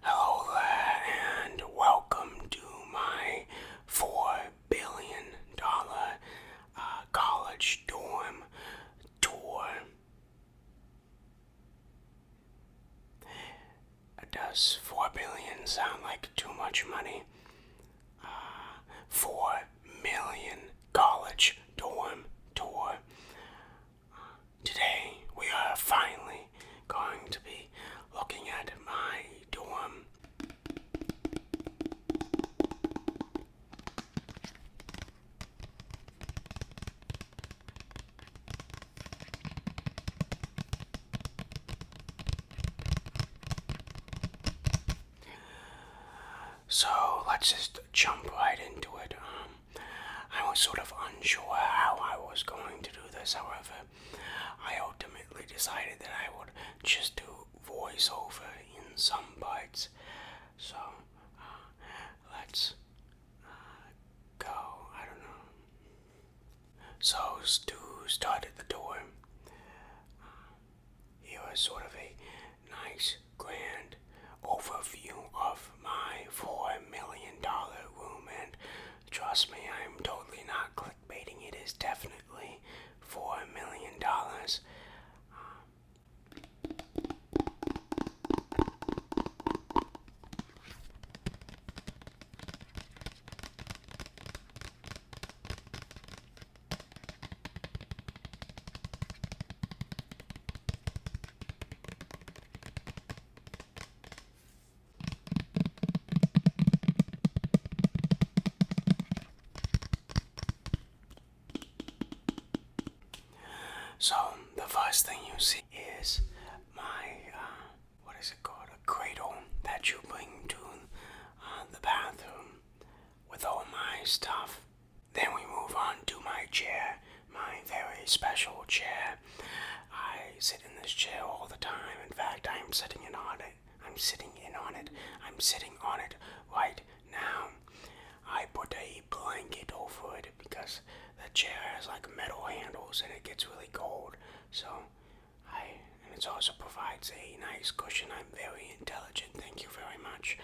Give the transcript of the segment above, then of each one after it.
Hello and welcome to my four billion dollar uh, college dorm tour. Does four billion sound like too much money? Uh, four million college dorm tour. today we are finally going to be looking at my dorm. So let's just jump right into it. Um, I was sort of unsure how I was going to do this, however, I ultimately decided that I would just do voiceover in some parts. So uh, let's go. I don't know. So Stu started the door. Uh, here sort of a nice, grand overview of my four million dollar room, and trust me, I'm totally not clickbaiting. It is definitely four million dollars. So, the first thing you see is my, uh, what is it called? A cradle that you bring to uh, the bathroom with all my stuff. Then we move on to my chair, my very special chair. I sit in this chair all the time. In fact, I'm sitting in on it. I'm sitting in on it. I'm sitting on it right now. I put a blanket over it because the chair has like metal handles and it gets really cold. So I and it also provides a nice cushion. I'm very intelligent. Thank you very much.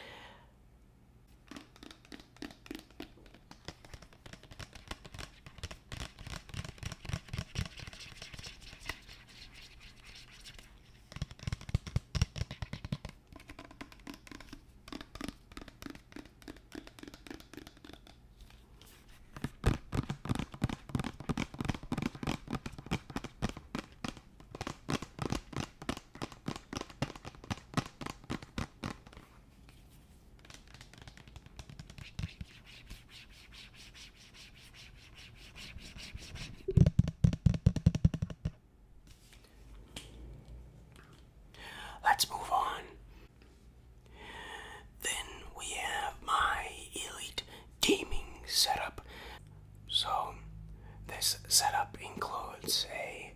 Let's move on then we have my elite gaming setup. So, this setup includes a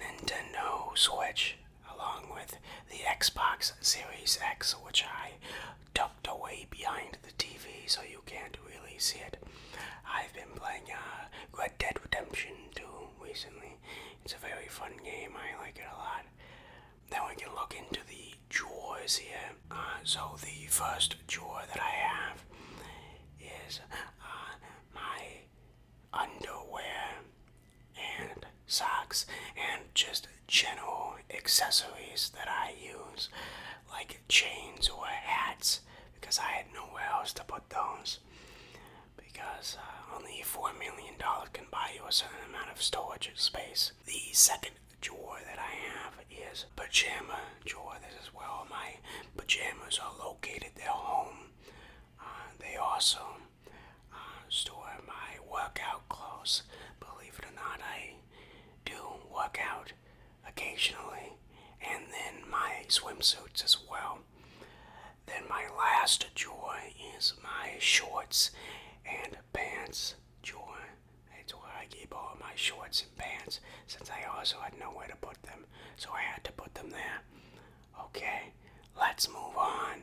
Nintendo Switch along with the Xbox Series X, which I tucked away behind the TV so you can't really see it. I've been playing uh, Dead Redemption 2 recently. It's a very fun game. I like it a lot. Then we can look into the drawers here. Uh, so the first drawer that I have is uh, my underwear and socks and just general accessories that I use, like chains or hats, because I had nowhere else to put those because uh, only $4 million can buy you a certain amount of storage space. The second drawer that I have is pajama drawer. This is where all my pajamas are located. they home. Uh, they also uh, store my workout clothes. Believe it or not, I do workout occasionally. And then my swimsuits as well. Then my last joy is my shorts and pants joy. That's where I keep all my shorts and pants since I also had nowhere to put them. So I had to put them there. Okay, let's move on.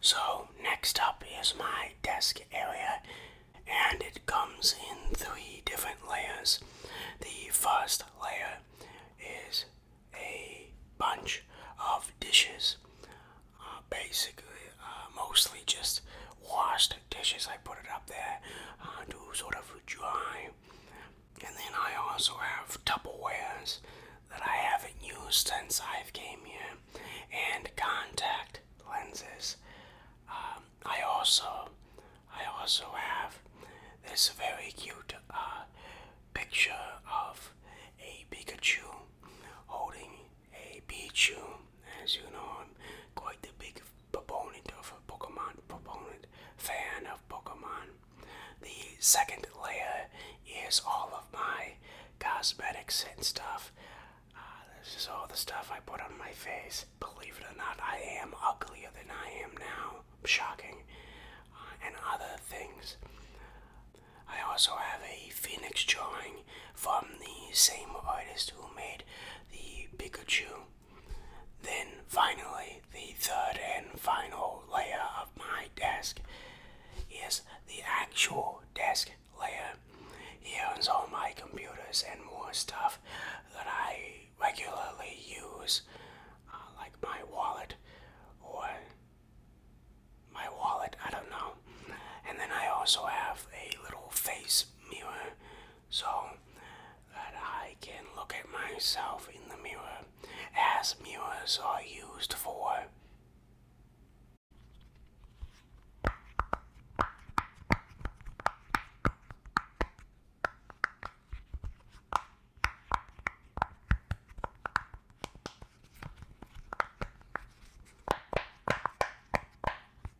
So, next up is my desk area, and it comes in three different layers. The first layer is a bunch of dishes, uh, basically, uh, mostly just washed dishes, I put it up there to uh, sort of dry. And then I also have Tupperwares that I haven't used since I've came here, and contact lenses. Um, I also, I also have this very cute uh, picture of a Pikachu holding Hey Pichu, as you know, I'm quite the big proponent of Pokemon, proponent, fan of Pokemon. The second layer is all of my cosmetics and stuff. Ah, this is all the stuff I put on my face. Believe it or not, I am uglier than I am now. Shocking. Uh, and other things. I also have a phoenix drawing from the same artist who made the Pikachu. Then finally, the third and final layer of my desk is the actual desk layer. Here is all my computers and more stuff that I regularly use, uh, like my wallet or my wallet, I don't know and then I also have a little face mirror so that I can look at myself in the mirror as mirrors are used for.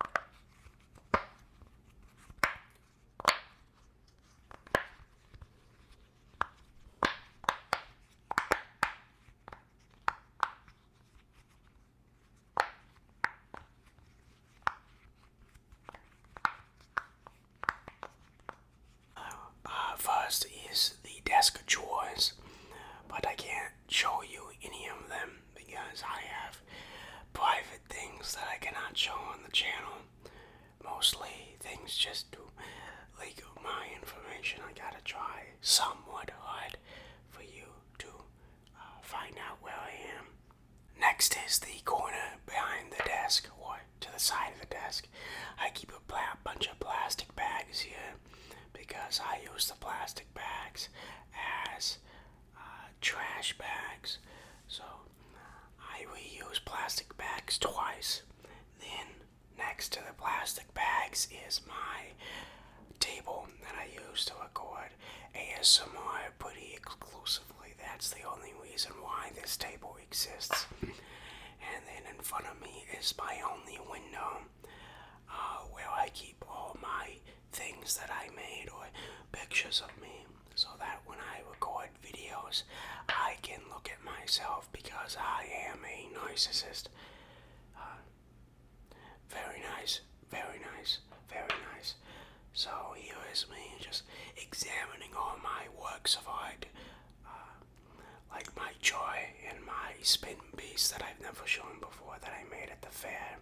Uh, uh, first is the desk choice, but I can not show you any of them because I have private things that I cannot show on the channel. Mostly things just to leak my information. I gotta try somewhat hard for you to uh, find out where I am. Next is the corner behind the desk or to the side of the desk. I keep a bunch of plastic bags here because I use the plastic bags as uh, trash bags. So I reuse plastic bags twice. Then next to the plastic bags is my table that I use to record ASMR pretty exclusively. That's the only reason why this table exists. and then in front of me is my only window uh, where I keep all my things that I made or pictures of me so that when I record videos I can look at myself because I am a narcissist. Uh, very nice, very nice, very nice. So here is me just examining all my works of art, uh, like my joy and my spin piece that I've never shown before that I made at the fair.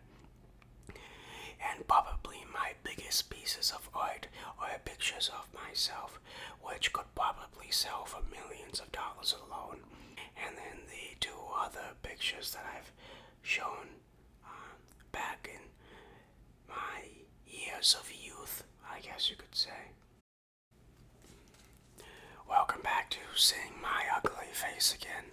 And probably my biggest pieces of art are pictures of myself, which could probably sell for millions of dollars alone. And then the two other pictures that I've shown um, back in my years of youth, I guess you could say. Welcome back to Seeing My Ugly Face Again.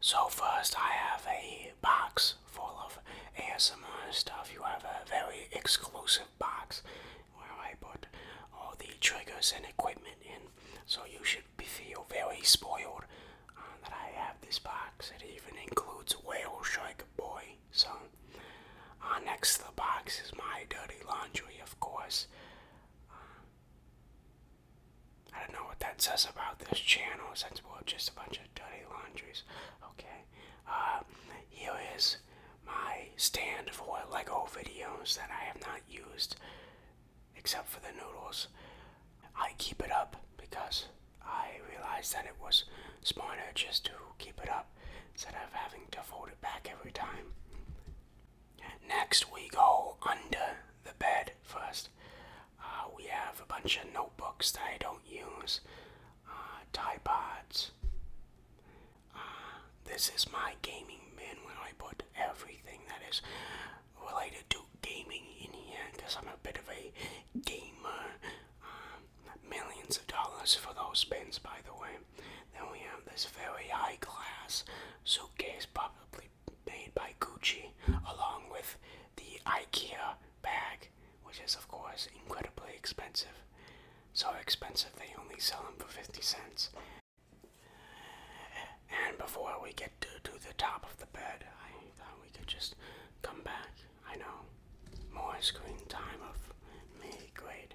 So first I have a box full of ASMR stuff. You have a very exclusive box where I put all the triggers and equipment in. So you should feel very spoiled uh, that I have this box. It even includes Whale Shark Boy. So uh, next to the box is my dirty laundry, of course. Uh, I don't know what that says about this channel since we're just a bunch of dirty laundries. Okay. Uh, here is my stand for Lego videos that I have not used except for the noodles. I keep it up because I realized that it was smarter just to keep it up instead of having to fold it back every time. Next, we go under the bed first. Uh, we have a bunch of notebooks that I don't use, uh, tie pods. Uh, this is my gaming bin where I put everything that is related to gaming in here because I'm a bit of a gamer. Um, millions of dollars for those bins, by the way. Then we have this very high class suitcase, probably made by Gucci, along with the IKEA bag, which is, of course, incredibly expensive. So expensive they only sell them for 50 cents. And before we get to, to the top of the bed, I thought we could just come back. I know, more screen time of me, great.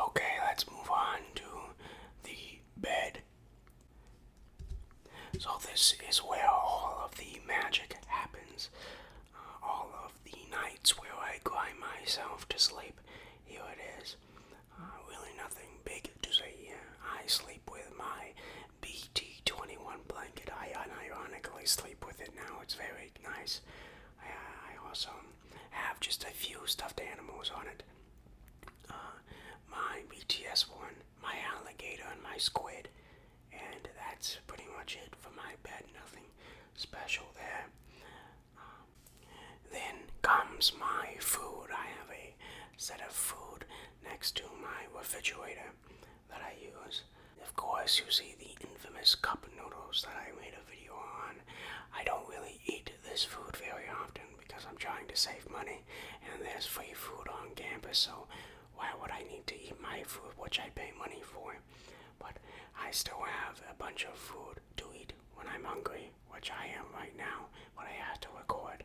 Okay, let's move on to the bed so, this is where all of the magic happens. Uh, all of the nights where I climb myself to sleep. Here it is. Uh, really, nothing big to say I sleep with my BT21 blanket. I unironically sleep with it now. It's very nice. I, also have just a few stuffed animals on it. Uh, my BTS one my alligator and my squid. And that's pretty much it for my bed. Nothing special there. Um, then comes my food. I have a set of food next to my refrigerator that I use. Of course, you see the infamous cup noodles that I made a video on. I don't really eat this food very often, because I'm trying to save money and there's free food on campus, so why would I need to eat my food, which I pay money for? But I still have a bunch of food to eat when I'm hungry, which I am right now, but I have to record.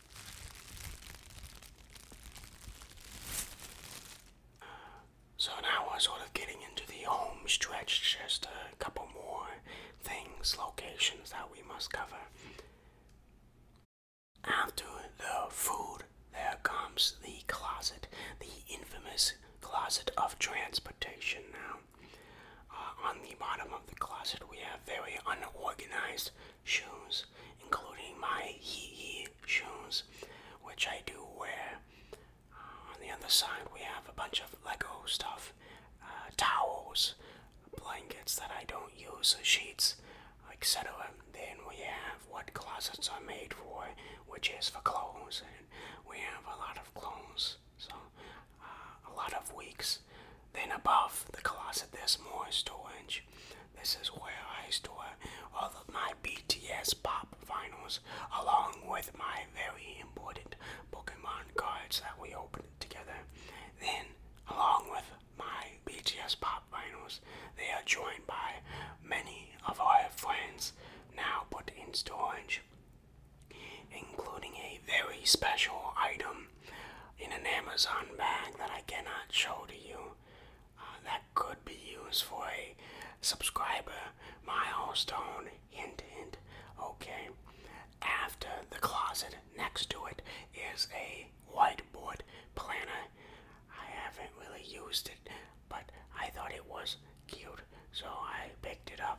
So now we're sort of getting into the home stretch, just a couple more things, locations that we must cover. After the food, there comes the closet, the infamous closet of transportation now. Uh, on the bottom of the closet, we have very unorganized shoes, including my Hee Hee shoes, which I do wear. Uh, on the other side, we have a bunch of Lego stuff, uh, towels, blankets that I don't use, sheets, etc. Then we have what closets are made for, which is for clothes, and we have a lot of clothes, so uh, a lot of weeks. Then above the closet, there's more storage. This is where I store all of my BTS pop vinyls along with my very important Pokemon cards that we opened together. Then, along with my BTS pop vinyls, they are joined by many of our friends now put in storage, including a very special item in an Amazon bag that I cannot show to you uh, that could be used for a subscriber milestone. Hint, hint. Okay. After the closet, next to it is a whiteboard planner. I haven't really used it, but I thought it was cute, so I picked it up.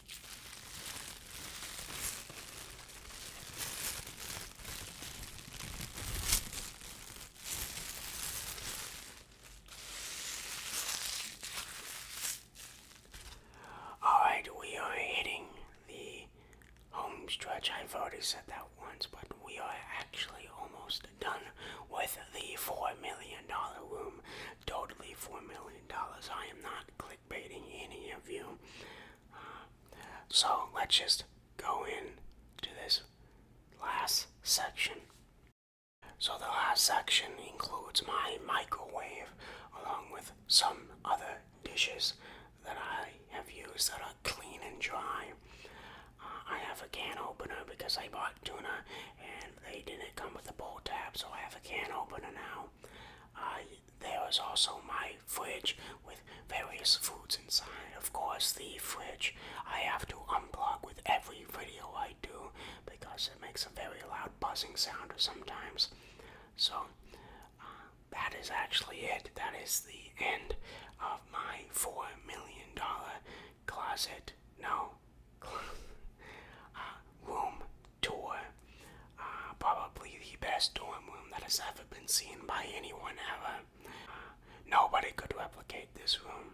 Alright, we are hitting the home stretch. I've already said that once, but we are actually almost done with the $4 million room. Totally $4 million. I am not clickbaiting any of you. so let's just go in to this last section. So the last section includes my microwave along with some other dishes that I have used that are clean and dry. Uh, I have a can opener because I bought tuna and they didn't come with a bowl tab, so I have a can opener now. Uh, there was also my fridge with various foods inside. Of course, the fridge I have to unplug with every video I do because it makes a very loud buzzing sound sometimes. So, uh, that is actually it. That is the end of my $4 million closet. No, room uh, tour. Uh, probably the best dorm room that has ever been seen by anyone ever. Uh, nobody could replicate this room.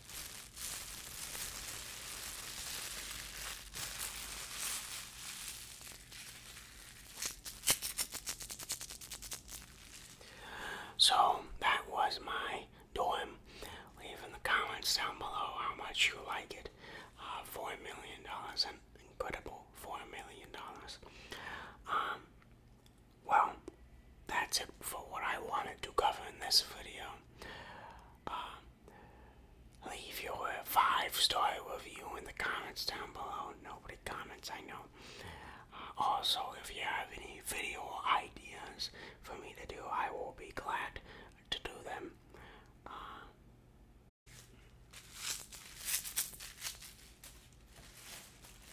So that was my doem. Leave in the comments down below how much you like it. Uh, Four million dollars, and incredible four million dollars. Um, well, that's it for what I wanted to cover in this video. Um, leave your five star review in the comments down below. Nobody comments, I know. Uh, also, if you have any video ideas for me to do, I will be glad to do them. Uh,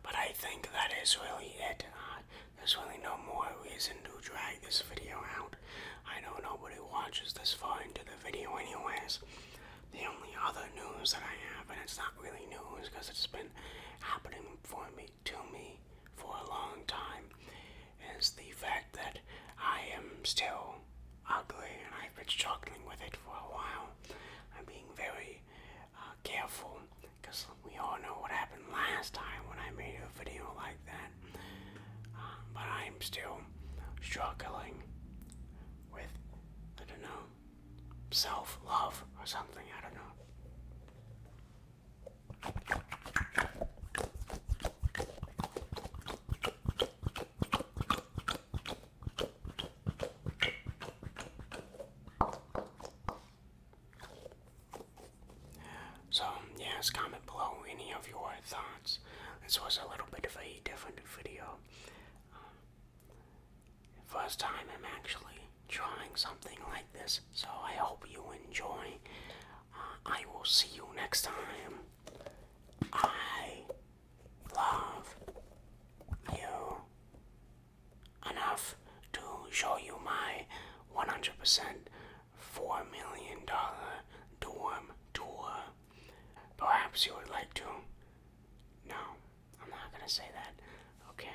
But I think that is really it. Uh, there's really no more reason to drag this video out. I know nobody watches this far into the video anyways. The only other news that I have, and it's not really news because it's been happening for me to me for a long time, is the fact that I am still ugly and I've been struggling with it for a while. I'm being very uh, careful because we all know what happened last time when I made a video like that. Uh, but I'm still struggling with, I don't know, self love or something. I don't know. So, yes, comment below any of your thoughts. This was a little bit of a different video. First time I'm actually trying something like this, so I hope you enjoy. Uh, I will see you next time. I love you enough to show you my 100% $4 million dorm tour. Perhaps you would like to? know. I'm not gonna say that. Okay.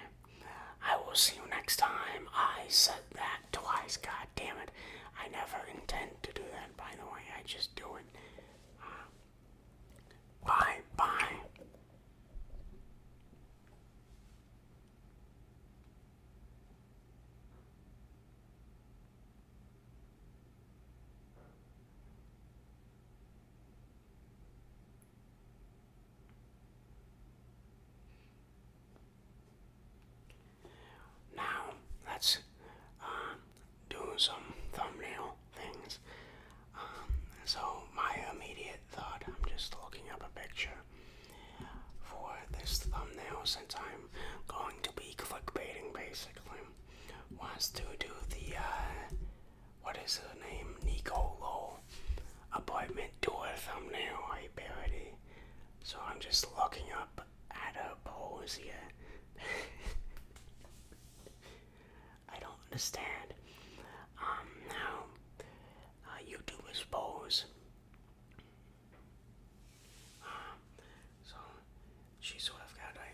I will see you next time. I said that twice. God damn it. I never intend to do that, by the way. I just do it. Uh, bye. Bye. Now, let's uh, do some thumbnail things. Um, so, my immediate thought I'm just looking up a picture for this thumbnail since I'm going to be clickbaiting basically was to do the uh, what is her name? Nicolo apartment a thumbnail I parody. So I'm just looking up at I don't understand um, how uh, YouTubers pose. Um, so she sort of got a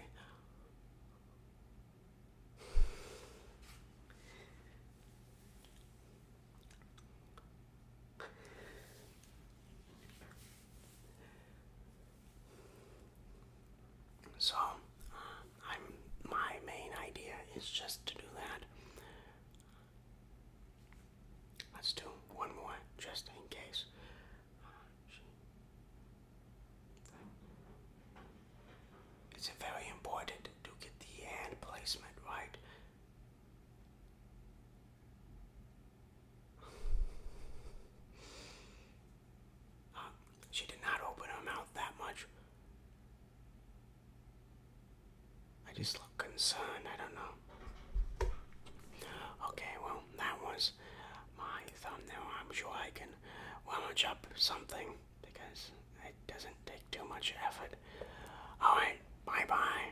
so, I'm my main idea is just to do that. Let's do one more just in case. It's very important to get the hand placement right. Uh, she did not open her mouth that much. I just look concerned. I don't know. Okay, well, that was my thumbnail. I'm sure I can then we'll munch up something because it doesn't take too much effort. Alright, bye bye.